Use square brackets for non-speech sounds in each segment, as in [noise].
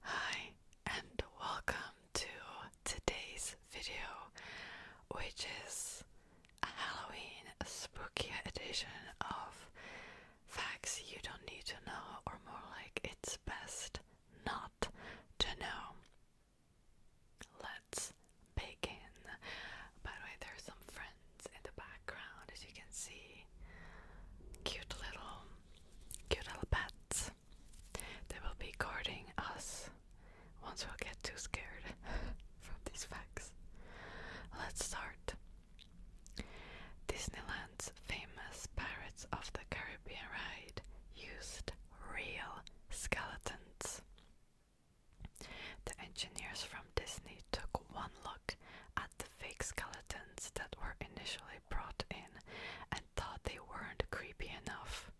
Hi, and welcome to today's video, which is a Halloween spooky edition of Facts You Don't Need to Know, or more like It's Best Not to Know. Let's begin. By the way, there's some friends in the background, as you can see. Cute little, cute little pets. They will be guarding us once we get too scared [laughs] from these facts. Let's start. Disneyland's famous Pirates of the Caribbean ride used real skeletons. The engineers from Disney took one look at the fake skeletons that were initially brought in and thought they weren't creepy enough.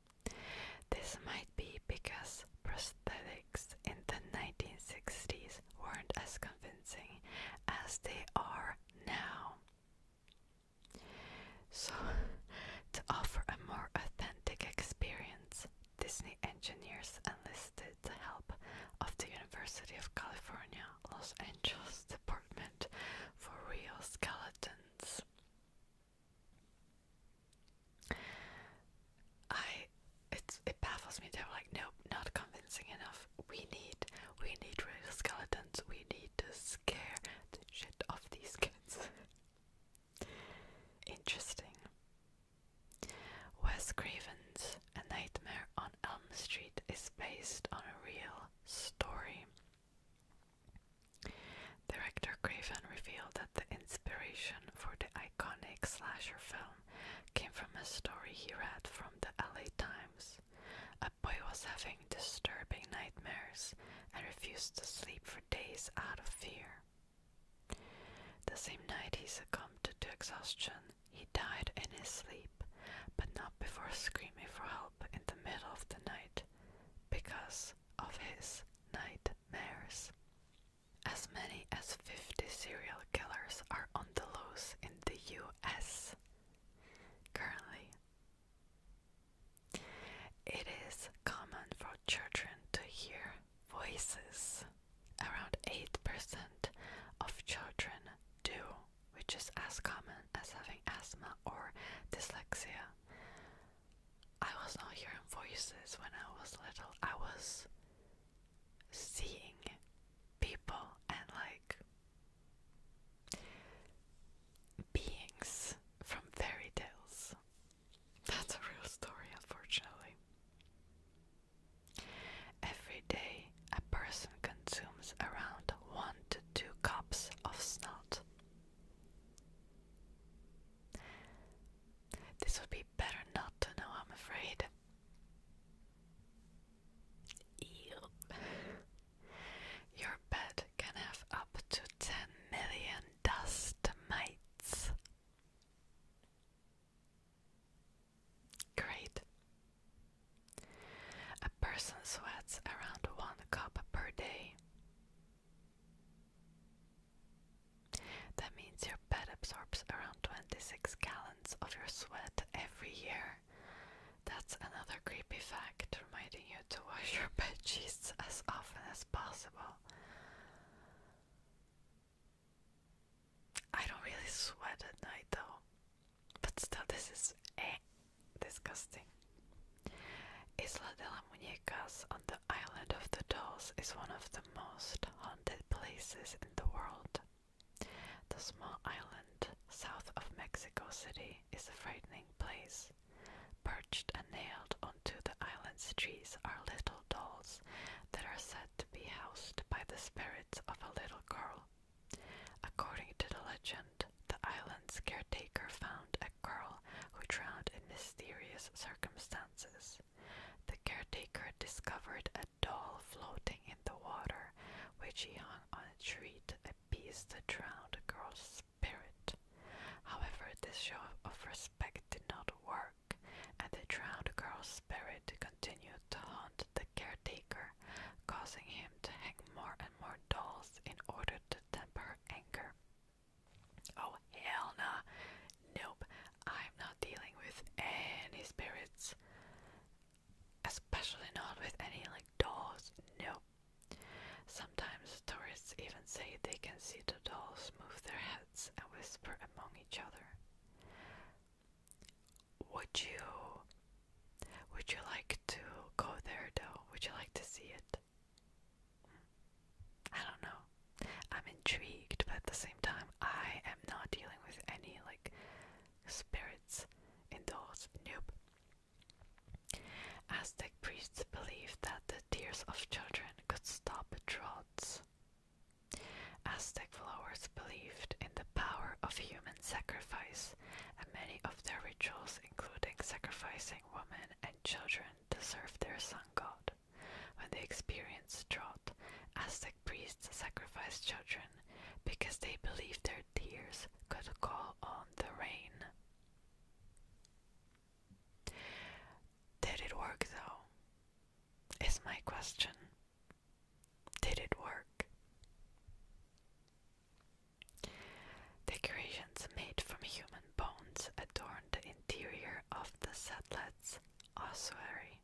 This might be because prosthetics in the 1960s weren't as convincing as they are now. So, to offer a more authentic experience, Disney engineers enlisted the help of the University of California Los Angeles Department for Real Skeletons. I it baffles me. They're like, nope, not convincing enough. We need we need real skeletons. We need to scare the shit off these kids. [laughs] Interesting. Wes Craven's A Nightmare on Elm Street is based on a real story. Director Craven revealed that the inspiration for the iconic slasher film came from a story he read from the LA Times. A boy was having disturbing nightmares and refused to sleep for days out of fear. The same night he succumbed to exhaustion he died in his sleep, but not before screaming for help in the middle of the night because of his nightmares. As many as 50 serial killers are on the loose in the US currently. It is common for children to hear voices. Around 8% of children do which is as common as having asthma or dyslexia. I was not hearing voices when I was little. I was seeing people and like beings from fairy tales. That's a real story, unfortunately. Every day, a person consumes around 1 to 2 cups of snout. This would be better not to know, I'm afraid. Ew. Your bed can have up to 10 million dust mites. Great. A person sweats around one cup per day. That means your bed absorbs around 26 gallons of your sweat every year. That's another creepy fact, reminding you to wash your bed sheets as often as possible. I don't really sweat at night though. But still, this is eh, disgusting. Isla de las Muñecas on the island of the dolls is one of the most haunted places in the world. The small island south of Mexico City is a frightening place. Perched and nailed onto the island's trees are little dolls that are said to be housed by the spirits of a little girl According to the legend, the island's caretaker found a girl who drowned in mysterious circumstances. The caretaker discovered a doll floating in the water, which he hung on a tree to appease the drowned girl's spirit. However, this show of respect did not work, and the drowned girl's spirit continued to haunt the caretaker, causing him to hang more and more dolls in order to temper anger. Oh, hell nah. Nope, I'm not dealing with any spirits. Especially not with any like dolls. Nope. Sometimes tourists even say they can see the dolls move their heads and whisper among each other. Would you would you like to go there though? Would you like to see it? I don't know. I'm intrigued, but at the same time, I am not dealing with any like spirits in those. Nope. Aztec priests believed that the tears of children could stop droughts. Aztec followers believed in the power of human sacrifice, and many of their rituals, including sacrificing women and children, to serve their sun god. When they experienced drought, Aztec priests sacrificed children because they believed their tears could call on the rain. Did it work though? Is my question. Did it work? Decorations made from human bones adorn the interior of the settlet's ossuary.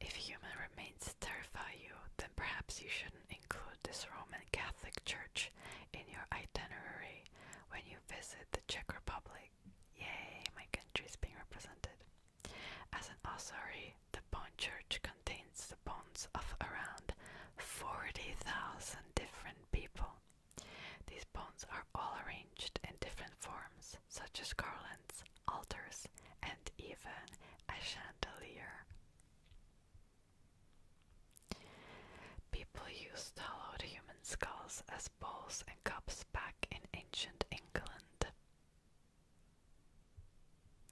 If human remains terrify you, then perhaps you shouldn't include this Roman Catholic Church in your itinerary when you visit the Czech Republic. Yay, my country is being represented. As an ossuary, the Bond Church contains the bones of around 40,000 different people. These bones are all arranged in different forms, such as garlands, altars, and even a chandelier. People used hollowed human skulls as bowls and cups back in ancient England.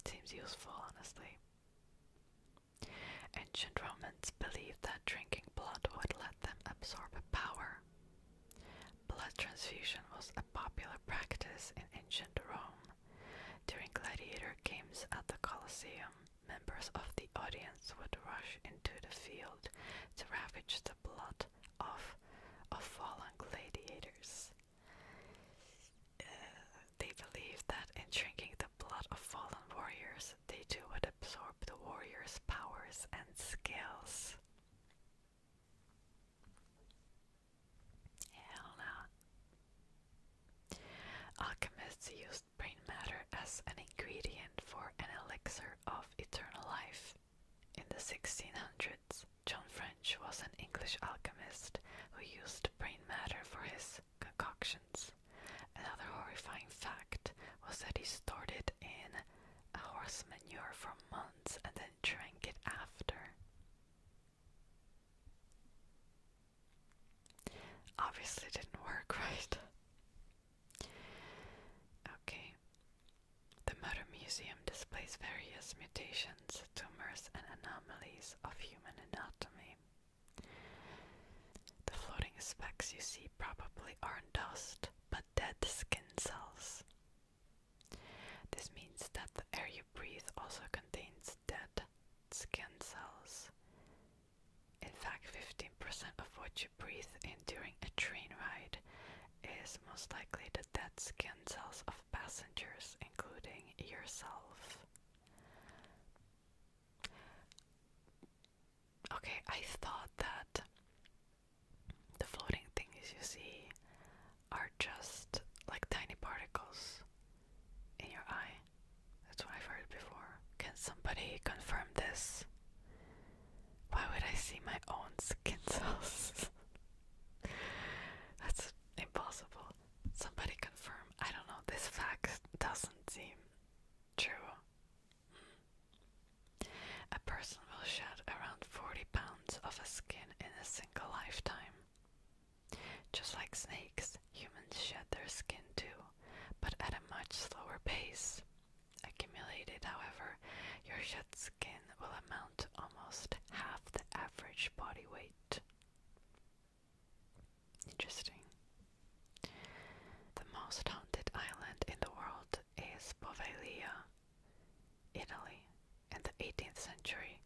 Seems useful, honestly. Ancient Romans believed that drinking blood would let them absorb power. Blood transfusion was a popular practice in ancient Rome. During gladiator games at the Colosseum, members of the audience would rush into the field to ravage the blood off of fallen gladiators. Uh, they believe that in drinking the blood of fallen warriors, they too would absorb the warriors' powers and skills. Hell no. Alchemists used brain matter as an ingredient for an elixir of eternal life. In the 1600s, John French was an English alchemist who used brain matter for his concoctions. Another horrifying fact was that he stored it in a horse manure for months and then drank it after. Obviously, didn't work, [laughs] right? Okay. The Murder Museum displays various mutations, tumors, and anomalies of human anatomy. The floating specks you see probably aren't dust, but dead skin cells. This means that the air you breathe also contains dead skin cells. In fact, 15% of what you breathe in during a train ride is most likely the dead skin cells of passengers, including yourself. Okay, I thought that the floating things you see are just like tiny particles in your eye. That's what I've heard before. Can somebody confirm this? Why would I see my own skin [laughs] cells? That's impossible. Somebody confirm. I don't know. This fact doesn't seem true. A person will shed around 40 pounds of a skin in a single lifetime. Just like snakes, humans shed their skin too, but at a much slower pace. Accumulated, however, your shed will amount almost half the average body weight. Interesting. The most haunted island in the world is Poveglia, Italy. In the 18th century,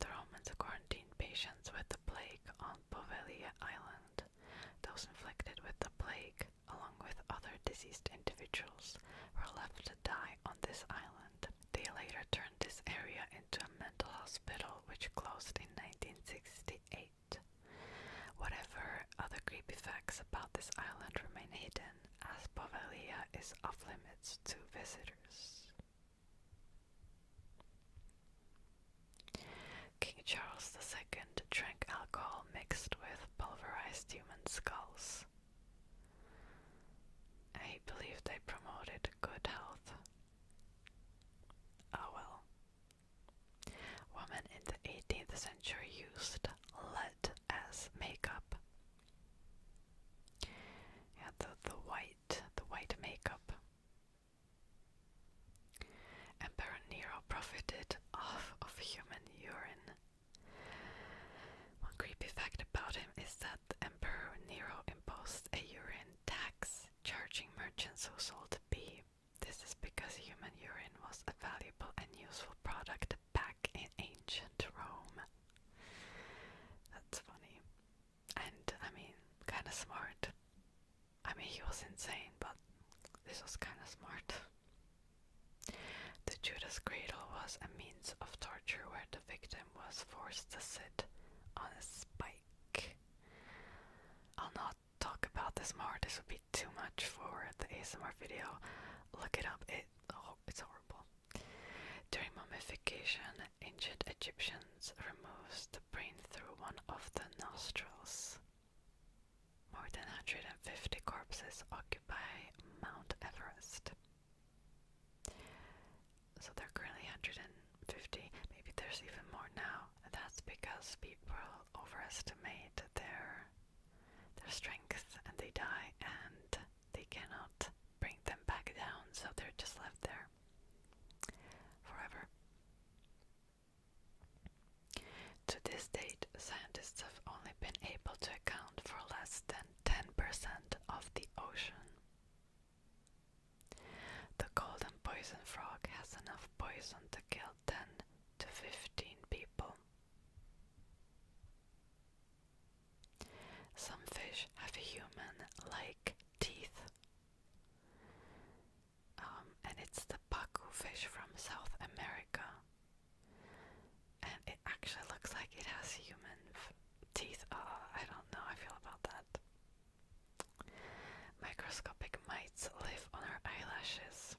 the Romans quarantined patients with the plague on Poveglia Island. Those inflicted with the plague, along with other diseased individuals, were left to die on this island. They later turned this area into a mental hospital which closed in 1968. Whatever other creepy facts about this island remain hidden, as Povalia is off limits to visitors. King Charles II drank alcohol mixed with pulverized human skulls. I believe they promoted good health. Oh well. Women in the 18th century used lead as makeup. Yeah, the, white, the white makeup. Emperor Nero profited off of human urine one creepy fact about him is that Emperor Nero imposed a urine tax, charging merchants who sold pee. This is because human urine was a valuable and useful product back in ancient Rome. That's funny. And I mean, kinda smart. I mean, he was insane, but this was kinda smart. The Judas cradle was a means of torture where the victim was forced to sit on a spike. I'll not talk about this more, this would be too much for the ASMR video. Look it up, oh, it's horrible. During mummification, ancient Egyptians removed the brain through one of the nostrils. More than 150 corpses occupy Mount Everest. So there are currently 150, maybe there's even more now. That's because people overestimate their their strength and they die and they cannot bring them back down, so they're just left there forever. To this date, scientists have only been able to account for less than 10% of the ocean. The golden poison frog has enough poison to kill 10 to 15 people. Some fish have human like teeth. Um, and it's the pacu fish from South America and it actually looks like it has human teeth. Ah, I don't know I feel about that. Microscopic mites live on our eyelashes,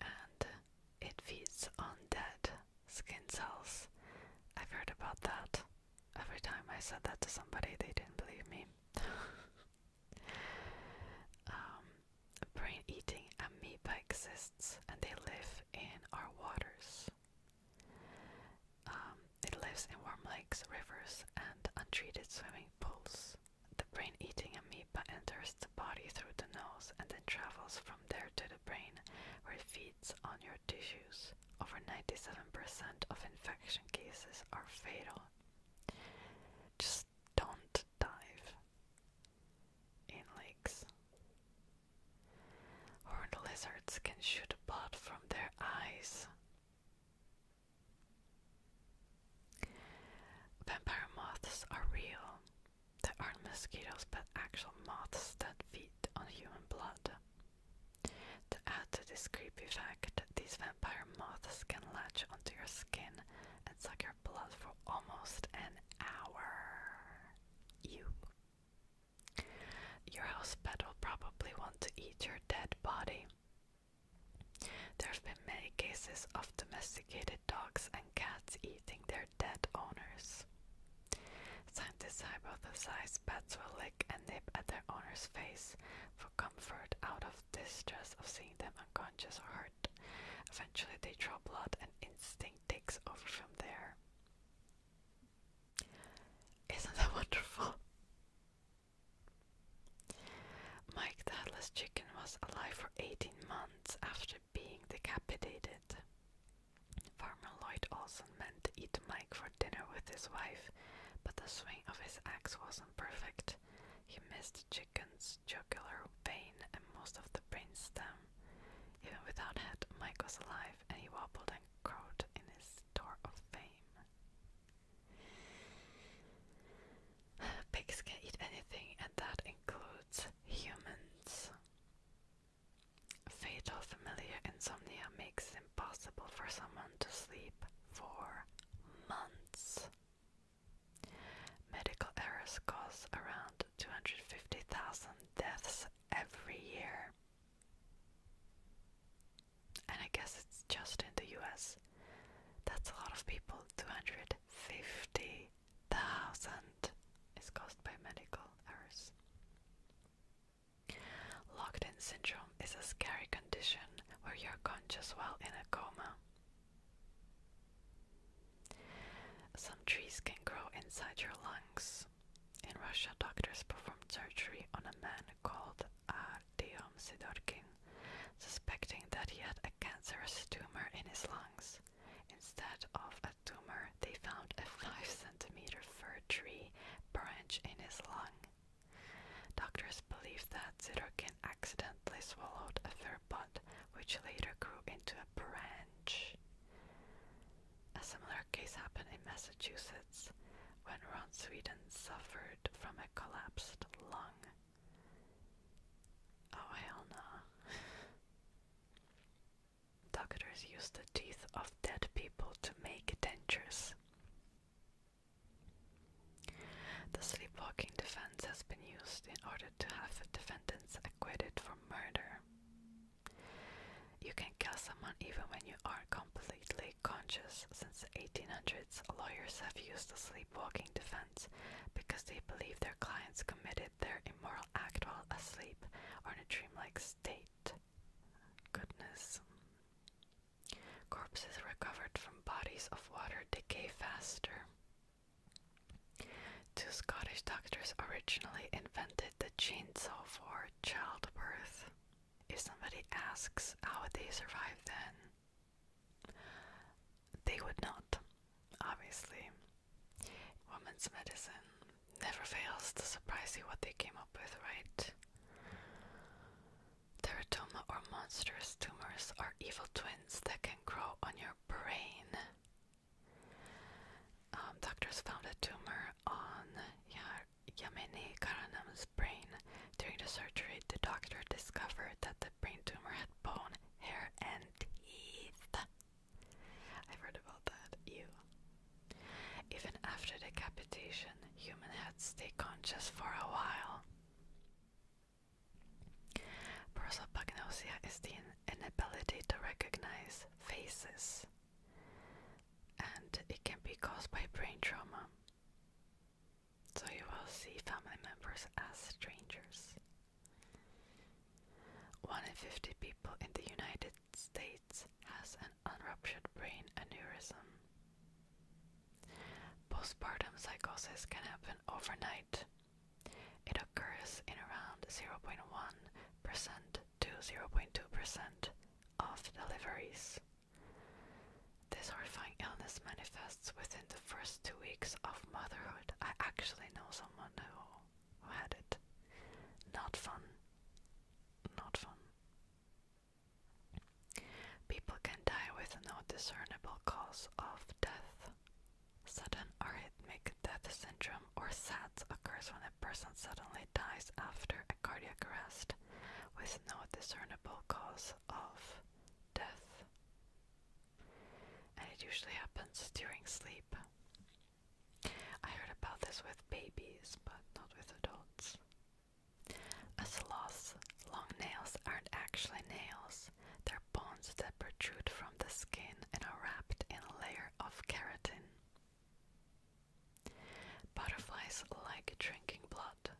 and it feeds on dead skin cells. I've heard about that. Every time I said that to somebody, they didn't believe me. [laughs] Um, brain-eating amoeba exists, and they live in our waters. Um, it lives in warm lakes, rivers, and untreated swimming pools. The brain-eating amoeba enters the body through the nose and then travels from there to the brain, where it feeds on your tissues. Over 97% of infection cases are fatal. Just don't dive in lakes. Horned lizards can shoot blood from their eyes. Vampire moths are real. They aren't mosquitoes but actual moths that feed on human blood. To add to this creepy fact, these vampire moths can latch onto your skin and suck blood for almost an hour. You. Your will probably want to eat your dead body. There have been many cases of domesticated dogs and cats eating their dead owners. Scientists hypothesize pets will lick and nip at their owner's face for comfort out of distress of seeing them unconscious or hurt. Eventually, they draw blood, and instinct takes over from there. Isn't that [laughs] wonderful? Mike the Headless Chicken was alive for 18 months after being decapitated. Farmer Lloyd Olson meant to eat Mike for dinner with his wife, but the swing of his axe wasn't perfect. He missed the Chicken's jugular vein and most of the brain stem. Even without head, Mike was alive, and he wobbled and crowed in his door of fame. [sighs] Pigs can eat anything, and that includes humans. Fatal familiar insomnia makes it impossible for someone to sleep for months. Medical errors cause around 250,000 deaths every year. And I guess it's just in the US. That's a lot of people. 250,000 is caused by medical errors. Locked in syndrome is a scary condition where you're conscious while in a coma. Some trees can grow inside your lungs. In Russia, doctors performed surgery on a man called Artyom uh, Sidorkin, suspecting that he had a cancerous tumor in his lungs. Instead of a tumor, they found a 5 centimeter fir tree branch in his lung. Doctors believe that Sirotkin accidentally swallowed a fir bud, which later grew into a branch. A similar case happened in Massachusetts when Ron Sweden suffered from a collapsed lung. Oh, hell no. Doctors used the teeth of dead people to make dentures. The sleepwalking defense has been used in order to have defendants acquitted for murder. You can kill someone even when you are completely conscious. Since the 1800s, lawyers have used the sleepwalking defense because they believe their clients committed their immoral act while asleep or in a dreamlike state. Goodness. Corpses recovered from bodies of water decay faster. Two Scottish doctors originally invented the chainsaw for childbirth. If somebody asks how they survive, then, they would not, obviously. Woman's medicine never fails to surprise you what they came up with, right? Teratoma or monstrous tumors are evil twins that can grow on your brain. Um, doctors found a tumor on Yamini Karanam's brain. During the surgery, the doctor discovered that the brain tumor had bone, hair, and teeth. I've heard about that. Ew. Even after decapitation, human heads stay conscious for a while. Prosopagnosia is the inability to recognize faces, and it can be caused by brain trauma. So you will see family members as strangers. One in 50 people in the United States has an unruptured brain aneurysm. Postpartum psychosis can happen overnight. It occurs in around 0.1% to 0.2% of deliveries. This horrifying illness manifests within the first two weeks of motherhood. I actually know someone who, had it. Not fun. Not fun. People can die with no discernible cause of death. Sudden arrhythmic death syndrome or SADS occurs when a person suddenly dies after a cardiac arrest with no discernible cause of death. And it usually happens during sleep. I heard about this with babies, but not with adults. A sloth's long nails aren't actually nails, they're bones that protrude from the skin and are wrapped in a layer of keratin. Butterflies like drinking blood.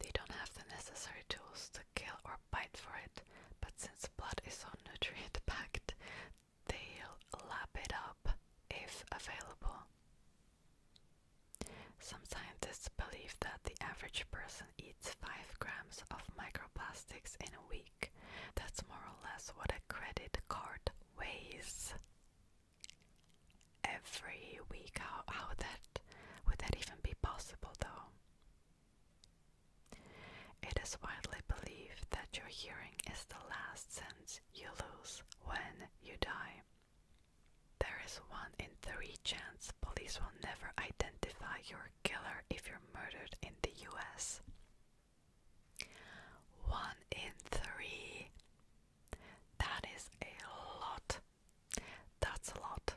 They don't have the necessary tools to kill or bite for it, but since blood is so nutrient packed, they'll lap it up if available. Some scientists believe that the average person eats 5 grams of microplastics in a week. That's more or less what a credit card weighs. Every week, how, how that would that even be possible though? It is widely believed that your hearing is the last sense you lose when you die. There is one in three chance police will never identify your killer if you're murdered in the US. One in three. That is a lot. That's a lot.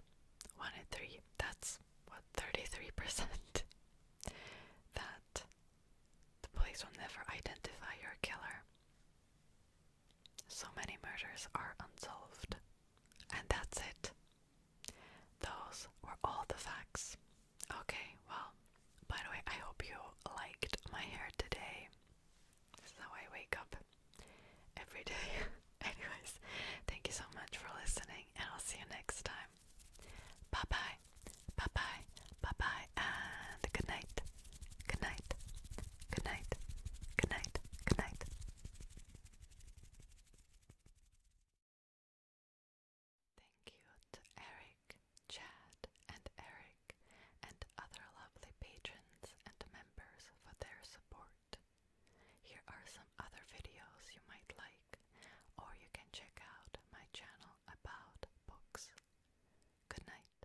One in three. That's what, 33%? that the police will never identify your killer. So many murders are unsolved. And that's it. Those were all the facts. Okay, well, by the way, I hope you liked my hair today. This is how I wake up every day. [laughs] Anyways, thank you so much for listening, and I'll see you next time. Bye bye, bye bye, bye bye, and good night. Good night. Good night. Good night. Good night. Thank you to Eric, Chad, and Eric, and other lovely patrons and members for their support. Here are some other videos you might like, or you can check out my channel about books. Good night.